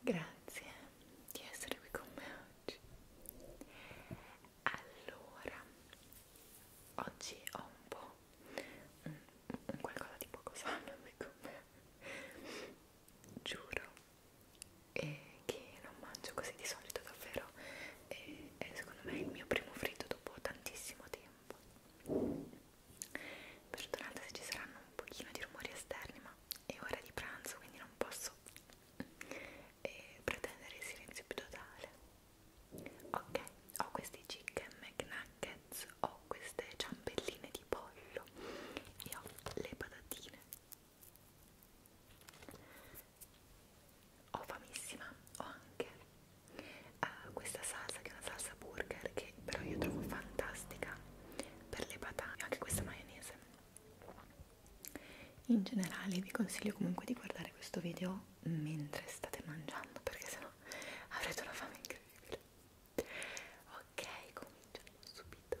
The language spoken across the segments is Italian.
Grazie di essere qui con me oggi. Allora, oggi ho un po' un, un qualcosa di poco sano qui con me. Giuro eh, che non mangio così di solito davvero. Eh, è secondo me il mio primo fritto dopo tantissimo tempo. Perdonate se ci saranno un pochino di rumori esterni, ma è ora di pranzo quindi non posso eh, pretendere il silenzio più totale ok ho questi chicken McNuggets ho queste ciambelline di pollo e ho le patatine ho famissima ho anche uh, questa salsa che è una salsa burger che però io trovo fantastica per le patate, anche questa maionese. In generale vi consiglio comunque di guardare questo video mentre state mangiando perché sennò avrete una fame incredibile. Ok, cominciamo subito.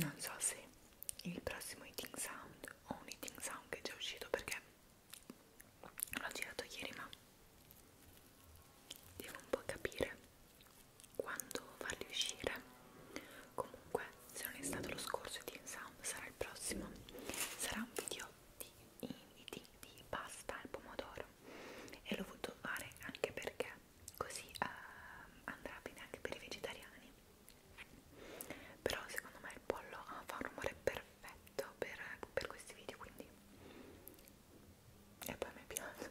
non so se il prossimo eating sound o un eating sound che è già uscito perché l'ho girato ieri ma devo un po' capire quando farli uscire comunque se non è stato lo scorso di Insound sarà il prossimo sarà un video di, di, di, di pasta al pomodoro e l'ho voluto fare anche perché così uh, andrà bene anche per i vegetariani però secondo me il pollo ah, fa un rumore perfetto per, per questi video quindi e poi mi piace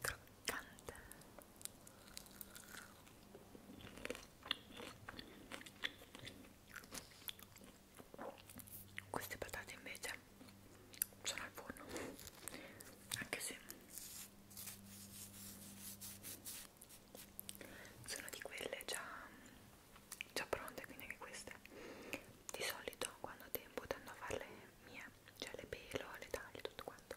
croccante queste patate invece sono al forno anche se sono di quelle già, già pronte quindi anche queste di solito quando ho tempo tendo a farle mie cioè le pelo, le taglio, tutto quanto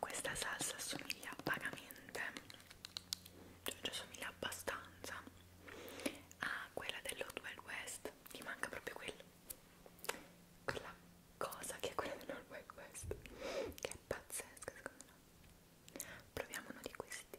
Questa salsa assomiglia vagamente, cioè ci assomiglia abbastanza a quella dell'Hot Wild West, ti manca proprio quella, quella cosa che è quella dell'Hot Wild West, che è pazzesca secondo me. Proviamo uno di questi.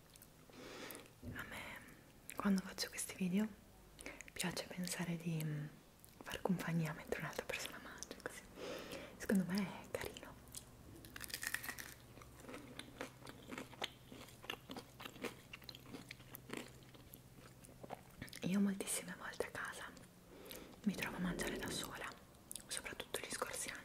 A me, quando faccio questi video, piace pensare di mm, far compagnia mentre un'altra persona mangia, così. Secondo me è carino. Io moltissime volte a casa mi trovo a mangiare da sola, soprattutto gli scorsi anni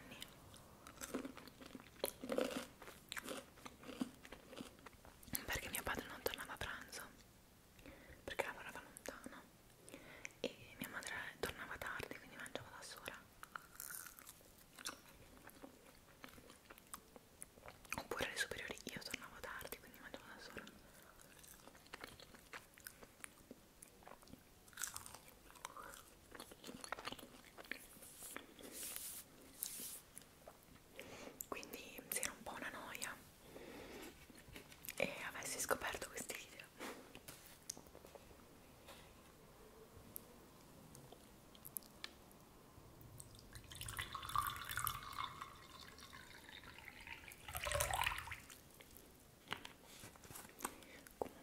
perché mio padre non tornava a pranzo perché lavorava lontano e mia madre tornava tardi quindi mangiava da sola oppure alle superiori io tornavo tardi quindi mangiavo da sola quindi si era un po' una noia e avessi scoperto questi video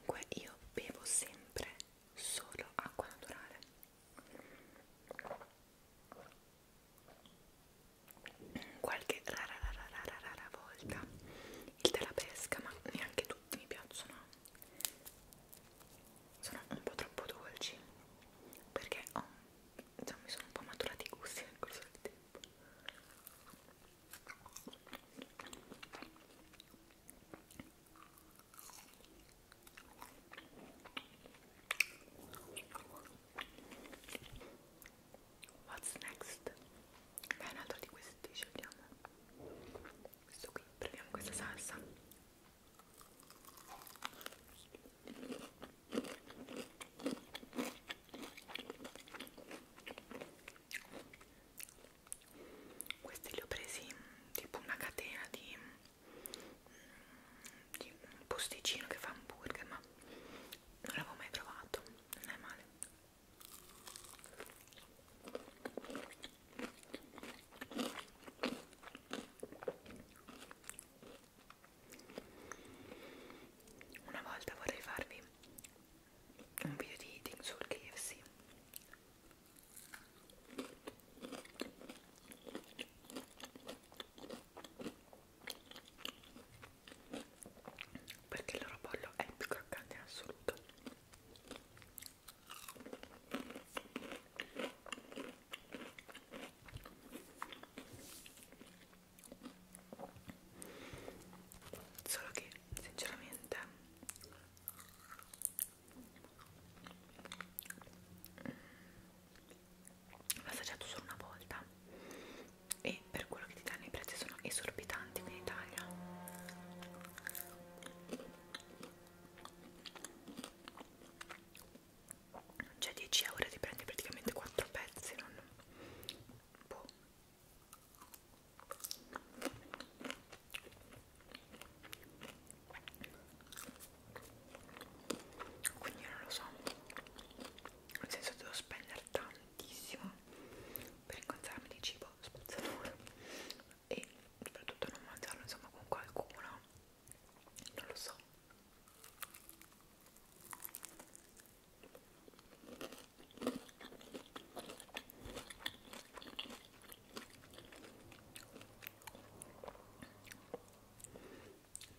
comunque io bevo sempre solo acqua naturale qualche rara rara rara rara volta il della pesca ma neanche tutti mi piacciono sono un po' troppo dolci perché ho, oh, insomma, mi sono un po' maturati i gusti nel corso del tempo What's next? Beh, un altro di questi scegliamo. Questo qui, prendiamo questa salsa. Questi li ho presi tipo una catena di di un posticino che fa hamburger ma non l'avevo mai provato non è male una volta vorrei farvi un video di eating sul KFC perché il loro pollo è il più croccante in assoluto solo che sinceramente l'ho assaggiato solo una volta e per quello che ti danno i prezzi sono esorbitanti qui in Italia cioè 10 euro ti prendi praticamente 4 pezzi non boh quindi non lo so nel senso devo spendere tantissimo per incontrarmi di cibo spazzatura e soprattutto non mangiarlo insomma con qualcuno non lo so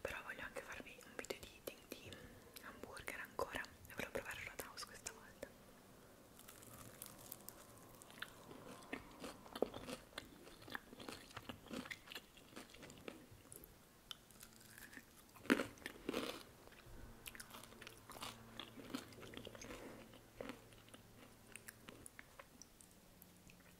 però voglio anche farvi un video di eating di hamburger ancora e volevo provare il Roadhouse questa volta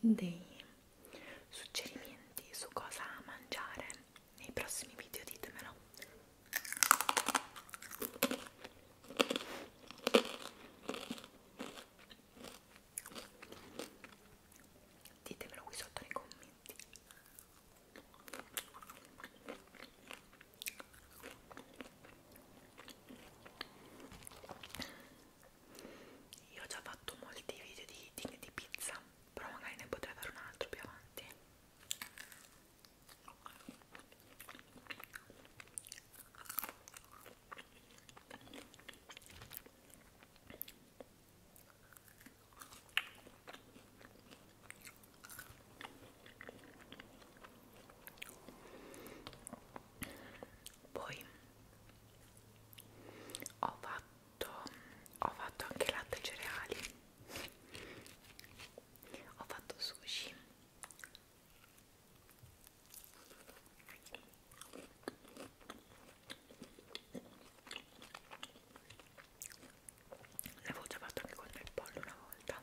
dei suggerimenti su cosa mangiare nei prossimi video ditemelo ditemelo qui sotto nei commenti io ho già fatto molti video di eating di pizza, però magari ne potrei fare un altro più avanti poi ho fatto ho fatto anche latte e cereali ho fatto sushi l'avevo già fatto anche con il pollo una volta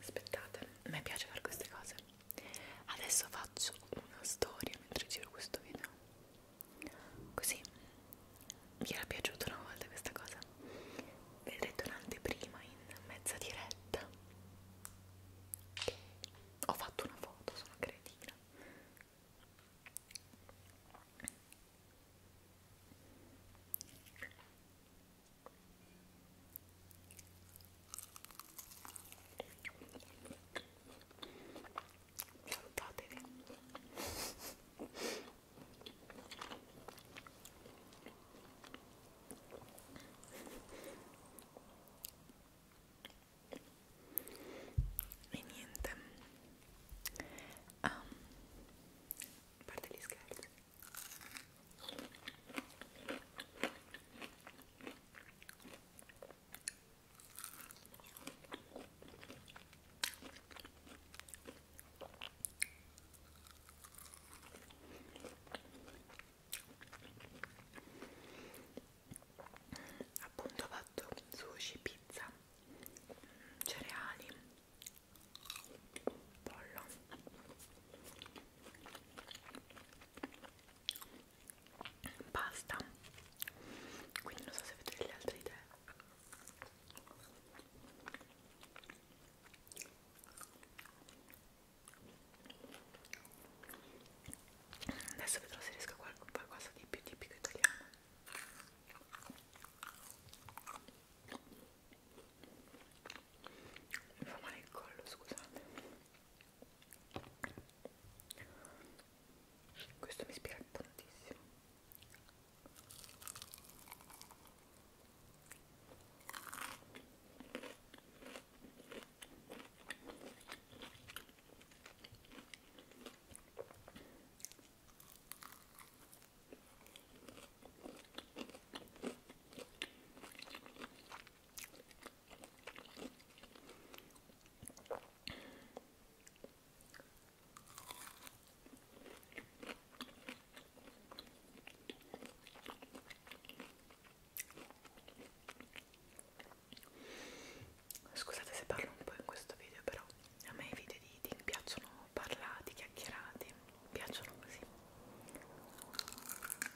aspettate, a me piace fare queste cose adesso faccio una storia mentre giro questo video così mi era piaciuta una volta questa cosa vedrete un'anteprima in mezza diretta okay. ho fatto una foto, sono cretina salutatevi e niente um, ehm, a parte gli scherzi appunto ho fatto sushi, pizza, cereali, pollo basta quindi non so se avete delle altre idee adesso vedrò se riesco a qual qualcosa di più tipico italiano mi fa male il collo scusate questo mi ispira tantissimo Scusate se parlo un po' in questo video, però a me i video di eating piacciono parlati, chiacchierati, piacciono così.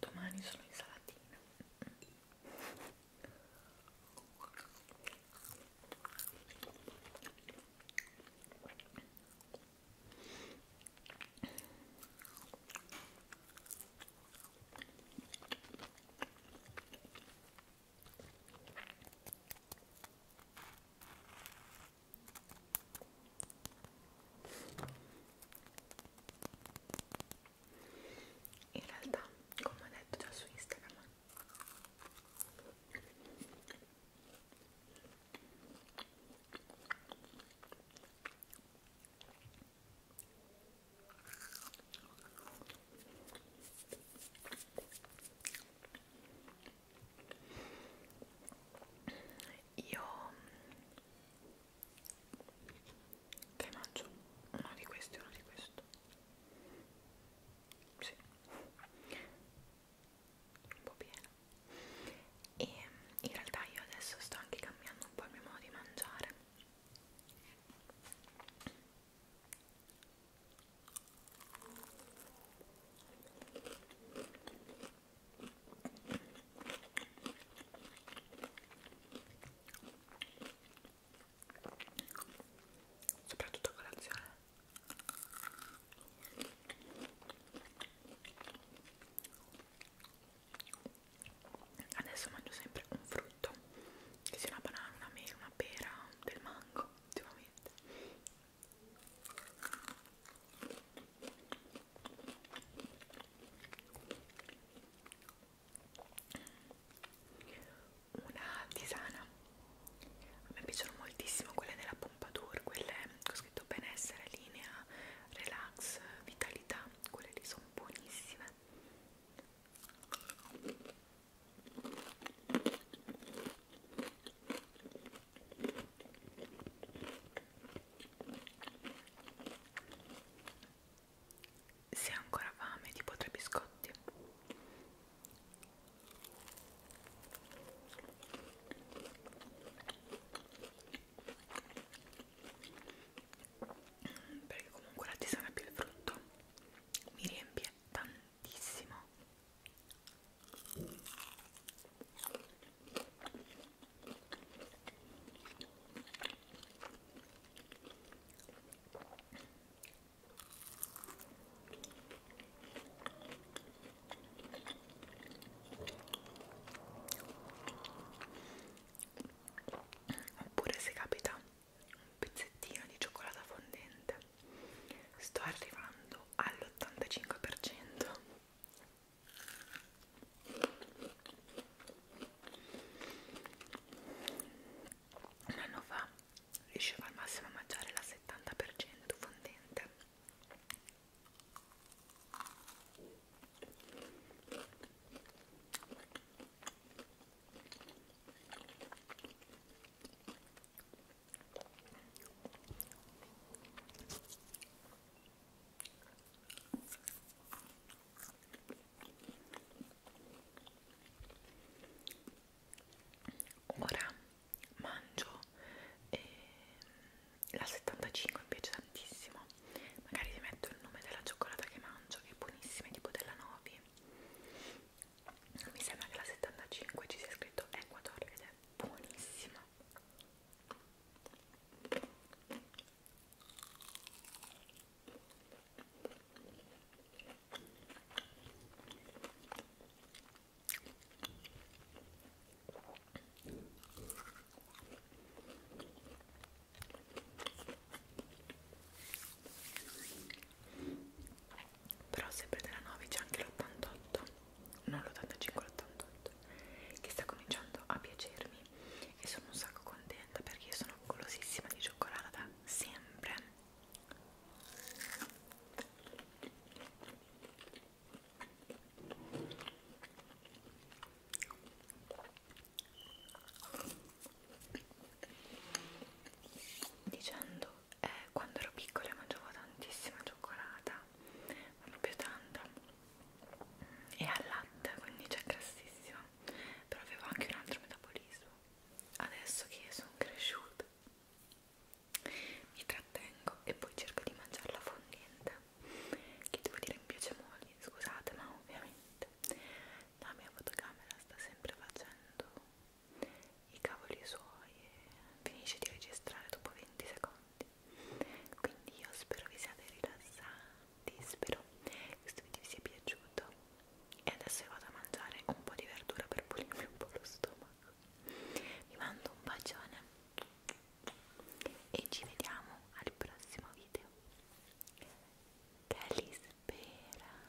domani sono insalatina in realtà come ho detto già su Instagram io che mangio uno di questi uno di questo sì un po' pieno e in realtà io adesso sto anche cambiando un po' il mio modo di mangiare soprattutto a colazione adesso mangio sempre un frutto che sia una banana, una mela, una pera, del mango ultimamente una tisana a me piacciono moltissimo quelle della Pompadour quelle ho scritto benessere, linea, relax, vitalità quelle lì sono buonissime se hai ancora fame, tipo tre biscotti. Perché comunque l'artisana più il frutto mi riempie tantissimo Oppure se capita un pezzettino di cioccolata fondente, sto arrivando all'85% un anno fa riuscivo al massimo a mangiare la 70% fondente Ora mangio eh, la 75 mi piace tantissimo. Magari vi metto il nome della cioccolata che mangio, che è buonissima, tipo della Novi. Mi sembra che la 75 ci sia scritto Ecuador ed è buonissima però sempre della 9 c'è anche l'88 non l'85 l'88 che sta cominciando a piacermi e sono un sacco contenta perché io sono golosissima di cioccolata da sempre dicendo eh, quando ero piccola mangiavo tantissima cioccolata, ma proprio tanta, e al latte, quindi c'è grassissima, però avevo anche un altro metabolismo. Adesso che sono cresciuta, mi trattengo e poi cerco di mangiarla fondente, che devo dire mi piace molto, scusate, ma ovviamente la mia fotocamera sta sempre facendo i cavoli suoi e finisce di registrare dopo 20 secondi quindi io spero vi siate rilassati spero che questo video vi sia piaciuto e adesso io vado a mangiare un po' di verdura per pulirmi un po' lo stomaco vi mando un bacione e ci vediamo al prossimo video che li spera